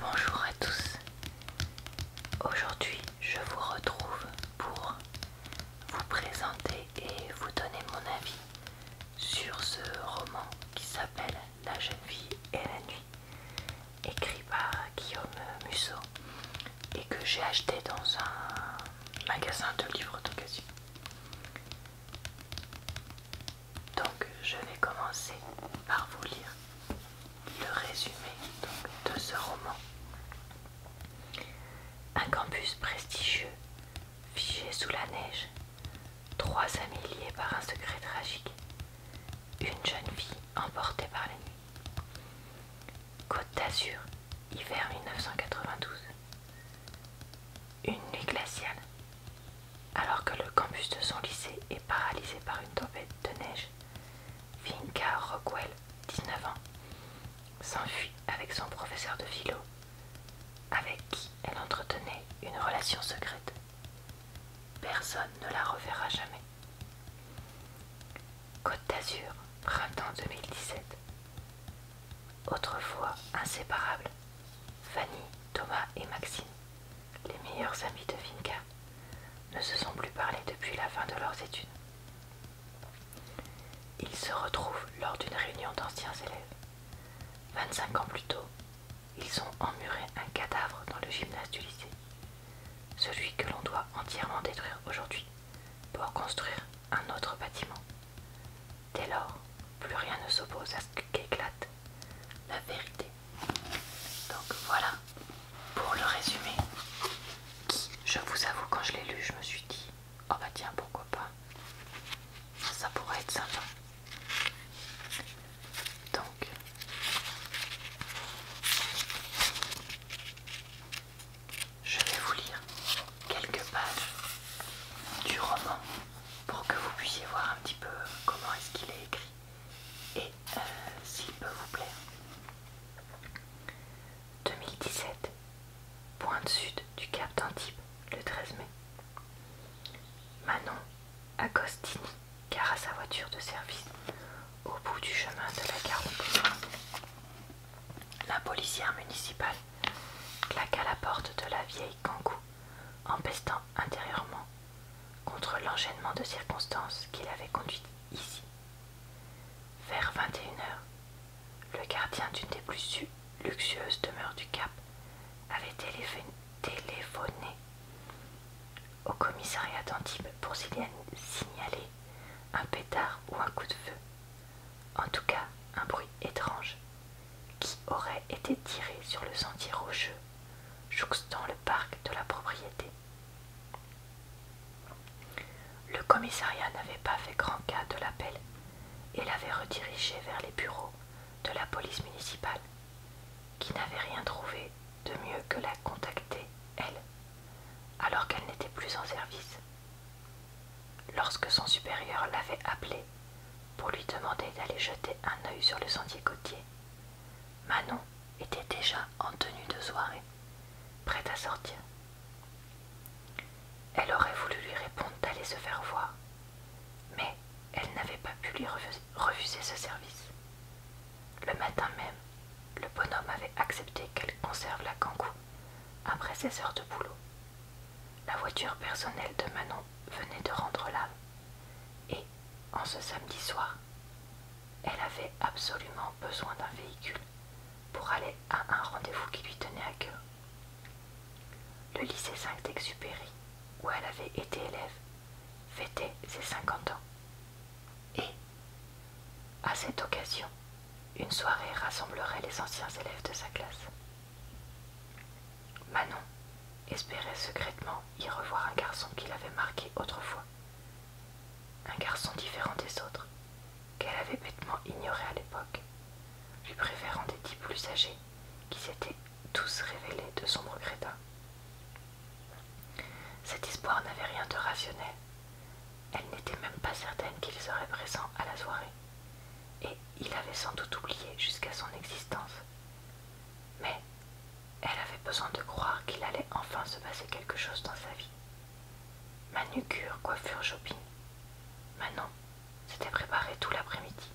Bonjour à tous. Aujourd'hui, je vous retrouve pour vous présenter et vous donner mon avis sur ce roman qui s'appelle La jeune fille et la nuit, écrit par Guillaume Musso et que j'ai acheté dans un magasin de livres d'occasion. Donc je vais commencer par vous lire le résumé de ce roman. Un campus prestigieux, figé sous la neige, trois amis liés par un secret tragique, une jeune fille emportée par la nuit. Côte d'Azur, hiver 1992. Une nuit glaciale, alors que le campus de son lycée est paralysé par une tempête de neige, Vinka Rockwell, 19 ans, s'enfuit avec son professeur de philo, avec qui elle entretenait une relation secrète. Personne ne la reverra jamais. Côte d'Azur, printemps 2017. Autrefois inséparables, Fanny, Thomas et Maxime les meilleurs amis de Vinka ne se sont plus parlé depuis la fin de leurs études. Ils se retrouvent lors d'une réunion d'anciens élèves. 25 ans plus tôt, ils ont emmuré un cadavre dans le gymnase du lycée, celui que l'on doit entièrement détruire aujourd'hui pour construire un autre bâtiment. Dès lors, plus rien ne s'oppose à ce qu'éclate la vérité donc voilà pour le résumé je vous avoue, quand je l'ai lu, je me suis dit, oh bah tiens, pourquoi pas, ça pourrait être sympa. Donc, je vais vous lire quelques pages du roman pour que vous puissiez voir un petit peu comment est-ce qu'il est écrit et euh, s'il peut vous plaire. 2017, pointe sud du Cap d'Antibes, le 13 mai. Manon Agostini à sa voiture de service au bout du chemin de la gare La policière municipale claque à la porte de la vieille Cancou pestant intérieurement contre l'enchaînement de circonstances qui l'avait conduite ici. Vers vingt-et-une heures le gardien d'une des plus luxueuses demeures du Cap avait téléphoné au commissariat d'Antibes pour s'il signalé un pétard ou un coup de feu. En tout cas, un bruit étrange qui aurait été tiré sur le sentier rocheux jouxtant le parc de la propriété. Le commissariat n'avait pas fait grand cas de l'appel et l'avait redirigé vers les bureaux de la police municipale, qui n'avait rien trouvé de mieux que la contacter, elle, alors qu'elle n'était plus en service. Lorsque son supérieur l'avait appelée pour lui demander d'aller jeter un œil sur le sentier côtier. Manon était déjà en tenue de soirée, prête à sortir. Elle aurait voulu lui répondre d'aller se faire voir, mais elle n'avait pas pu lui refuser ce service. Le matin même, le bonhomme avait accepté qu'elle conserve la kangou après ses heures de boulot. La voiture personnelle de Manon venait de rendre là. Et, en ce samedi soir, elle avait absolument besoin d'un véhicule pour aller à un rendez-vous qui lui tenait à cœur. Le lycée Saint-Exupéry, où elle avait été élève, fêtait ses 50 ans. Et, à cette occasion, une soirée rassemblerait les anciens élèves de sa classe. Manon espérait secrètement y revoir un garçon qu'il avait marqué autrefois, un garçon différent des autres, qu'elle avait bêtement ignoré à l'époque, lui préférant des types plus âgés qui s'étaient tous révélés de sombres crétins. Cet espoir n'avait rien de rationnel. Elle n'était même pas certaine qu'il serait présent à la soirée, et il avait sans doute oublié jusqu'à son existence. Mais elle avait besoin de croire qu'il allait enfin se passer quelque chose dans sa vie. Manucure, coiffure, shopping. Manon s'était préparé tout l'après-midi.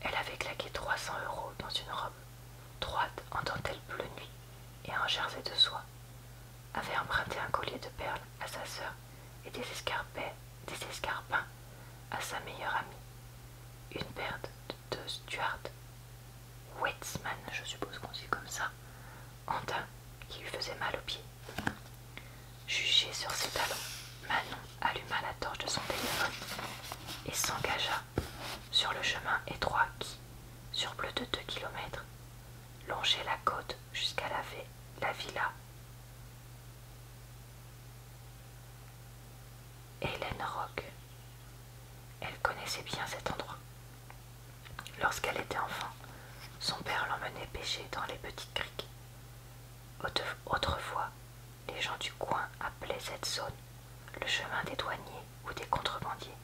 Elle avait claqué 300 euros dans une robe droite en dentelle bleu nuit et un jersey de soie, avait emprunté un collier de perles à sa sœur et des, des escarpins à sa meilleure amie, une perte de, Stuart Wetzman, je suppose qu'on dit comme ça, en qui lui faisait mal aux pieds. Jugé sur ses talons, Manon alluma la torche de son téléphone et s'engagea sur le chemin étroit qui, sur plus de deux kilomètres, longeait la côte jusqu'à la, la villa Hélène Rock. Elle connaissait bien cet endroit. Lorsqu'elle était enfant, son père l'emmenait pêcher dans les petites criques. Autrefois, les gens du coin appelaient cette zone le chemin des douaniers ou des contrebandiers.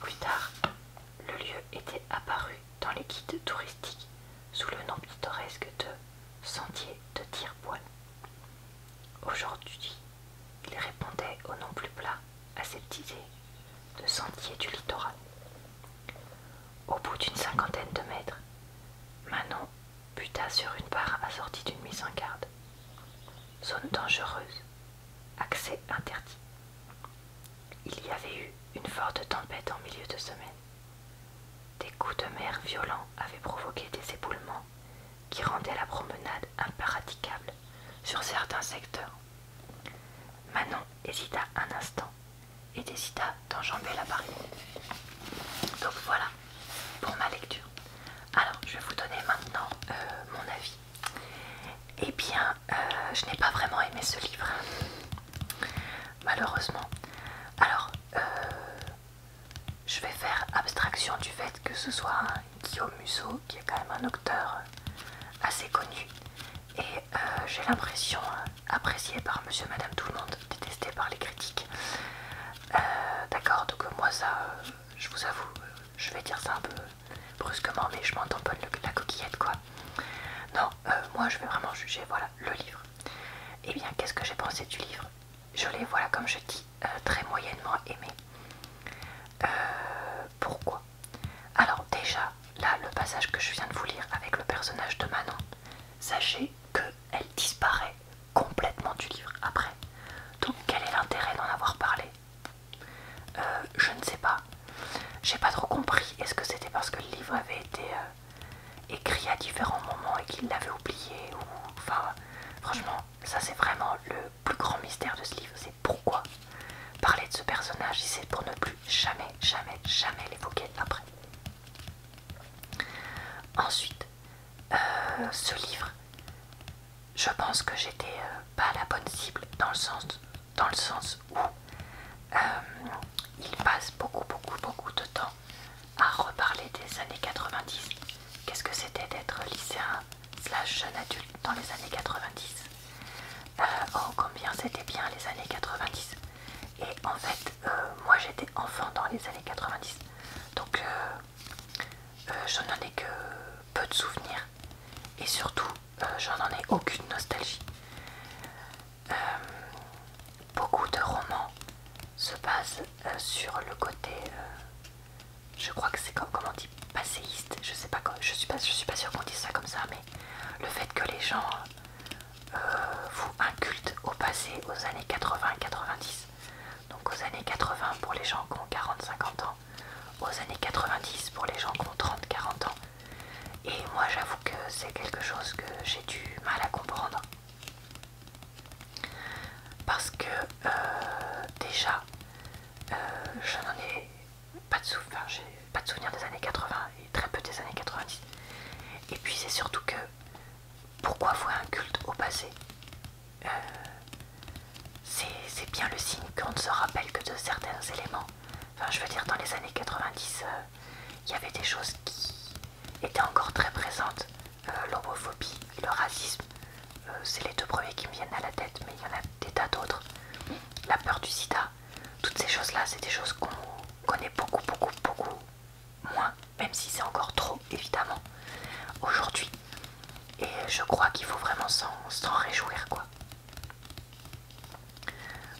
Plus tard, le lieu était apparu dans les guides touristiques sous le nom pittoresque de sentier de tire-poil. Aujourd'hui, il répondait au nom plus plat, à cette idée de sentier du littoral. Au bout d'une cinquantaine de mètres, Manon buta sur une barre assortie d'une mise en garde. Zone dangereuse, accès interdit. Il y avait eu une forte tempête en milieu de semaine. Des coups de mer violents avaient provoqué des éboulements qui rendaient la promenade impraticable sur certains secteurs. Manon hésita un instant et décida d'enjamber la barrière. Donc voilà pour ma lecture. Alors je vais vous donner maintenant euh, mon avis. Eh bien, euh, je n'ai pas vraiment aimé ce livre, malheureusement. Alors, euh, je vais faire abstraction du fait que ce soit Guillaume Musso qui est quand même un auteur assez connu et euh, j'ai l'impression euh, apprécié par monsieur madame tout le monde, détesté par les critiques. D'accord, donc moi ça, je vous avoue, je vais dire ça un peu brusquement, mais je m'entends pas la coquillette quoi. Non, moi je vais vraiment juger, voilà, le livre eh bien, qu'est-ce que j'ai pensé du livre Je l'ai, voilà, comme je dis, euh, très moyennement aimé. Euh, pourquoi Alors déjà, là, le passage que je viens de vous lire avec le personnage de Manon, sachez qu'elle disparaît complètement du livre après. Donc quel est l'intérêt d'en avoir parlé euh, Je ne sais pas. J'ai pas trop compris. Est-ce que c'était parce que le livre avait été écrit à différents moments et qu'il l'avait oublié. Ou, enfin, franchement, ça c'est vraiment le plus grand mystère de ce livre. C'est pourquoi parler de ce personnage c'est pour ne plus jamais, jamais, jamais l'évoquer après. Ensuite, euh, ce livre, je pense que j'étais euh, pas la bonne cible dans le sens, dans le sens où euh, il passe beaucoup, beaucoup, beaucoup de temps à reparler des années 90. Qu'est-ce que c'était d'être lycéen slash jeune adulte dans les années 90 euh, Oh, combien c'était bien les années 90 Et en fait, euh, moi j'étais enfant dans les années 90. Donc, euh, je n'en ai que peu de souvenirs. Et surtout, je n'en ai aucune nostalgie. Euh, beaucoup de romans se basent euh, sur le côté, euh, je crois que c'est comment on dit, passéiste. Je sais pas, je suis pas, je suis pas sûre qu'on dise ça comme ça, mais le fait que les gens vous incultent au passé, aux années 80-90. Donc aux années 80 pour les gens qui ont 40-50 ans, aux années 90 pour les gens qui ont 30-40 ans. Et moi j'avoue que c'est quelque chose que j'ai du mal à comprendre. Parce que euh, déjà, euh, je n'en ai pas de souvenirs des années 80 et très peu des années 90. Et puis c'est surtout que pourquoi vouer un culte au passé euh, C'est bien le signe qu'on ne se rappelle que de certains éléments. Enfin, je veux dire, dans les années 90, il y avait des choses qui était encore très présente. l'homophobie euh, L'homophobie, le racisme, euh, c'est les deux premiers qui me viennent à la tête, mais il y en a des tas d'autres. La peur du sida, toutes ces choses-là, c'est des choses qu'on connaît beaucoup, beaucoup, beaucoup moins, même si c'est encore trop, évidemment, aujourd'hui. Et je crois qu'il faut vraiment s'en réjouir, quoi.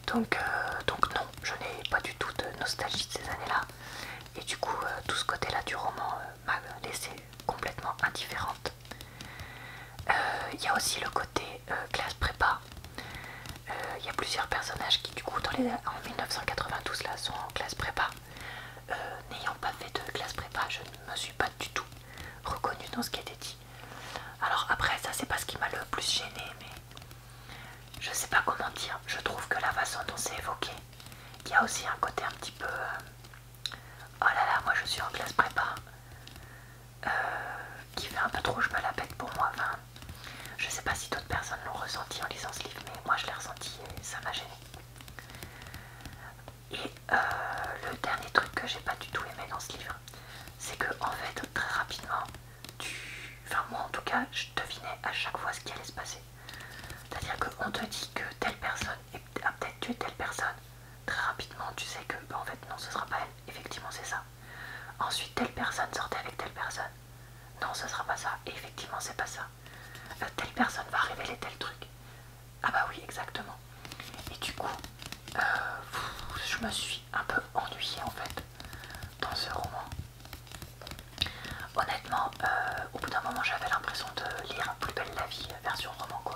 Donc, euh, donc non, je n'ai pas du tout de nostalgie de ces années-là. Et du coup, euh, tout ce côté-là du roman euh, m'a laissé complètement indifférente. Il y a aussi le côté classe prépa. Il y a plusieurs personnages qui, du coup, en 1992, là, sont en classe prépa. N'ayant pas fait de classe prépa, je ne me suis pas du tout reconnue dans ce qui était dit. Alors après, ça, c'est pas ce qui m'a le plus gênée, mais je ne sais pas comment dire, je trouve que la façon dont c'est évoqué, il y a aussi un côté un petit peu euh, oh là là, moi je suis en classe prépa, euh, qui fait un peu trop je me la bête pour moi. Je je sais pas si d'autres personnes l'ont ressenti en lisant ce livre, mais moi je l'ai ressenti et ça m'a gêné. Et euh, le dernier truc que j'ai pas du tout aimé dans ce livre, c'est que en fait, très rapidement, Enfin moi en tout cas, je devinais à chaque fois ce qui allait se passer. C'est-à-dire qu'on te dit que telle personne a peut-être tué telle personne. Très rapidement, tu sais que bah, en fait non, ce sera pas elle. Effectivement, c'est ça. Ensuite, telle personne sortait avec telle personne. Non, ce sera pas ça. effectivement, c'est pas ça. Euh, telle personne va révéler tel truc. Ah bah oui, exactement. Et du coup, euh, je me suis un peu ennuyée en fait dans ce roman. Honnêtement, euh, au bout d'un moment, j'avais l'impression de lire Plus belle la vie, version roman quoi.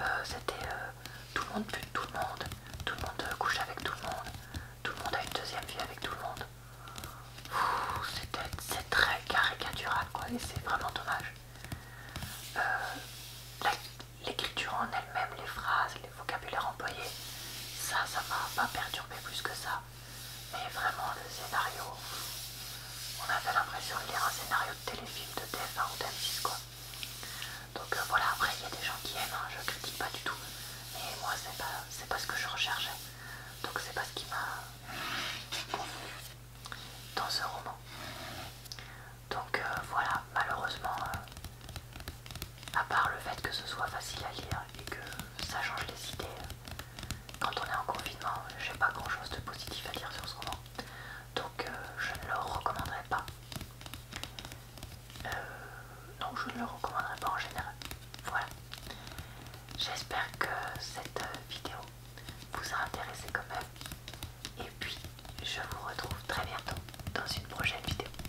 Euh, c'était euh, tout le monde bute tout le monde, tout le monde couche avec tout le monde, tout le monde a une deuxième vie avec tout le monde. C'est très caricatural quoi, et c'est vraiment dommage. L'écriture en elle-même, les phrases, vocabulaire employé, ça, ça m'a pas perturbé plus que ça. Mais vraiment, le scénario, on avait l'impression de lire un scénario de téléfilm de TF1 ou m quoi. Donc euh, voilà, après, il y a des gens qui aiment, hein, je critique pas du tout. Mais moi, c'est pas, pas ce que je recherchais. Donc c'est pas ce qui m'a dans ce roman. Donc euh, voilà, malheureusement, euh, à part le fait que ce soit facile à lire et que ça change les idées, quand on est en confinement, j'ai pas grand chose de positif à dire sur ce roman, donc euh, je ne le recommanderai pas. Euh, non, donc je ne le recommanderai pas en général. Voilà. J'espère que cette vidéo vous a intéressé quand même. Et puis, je vous retrouve très bientôt dans une prochaine vidéo.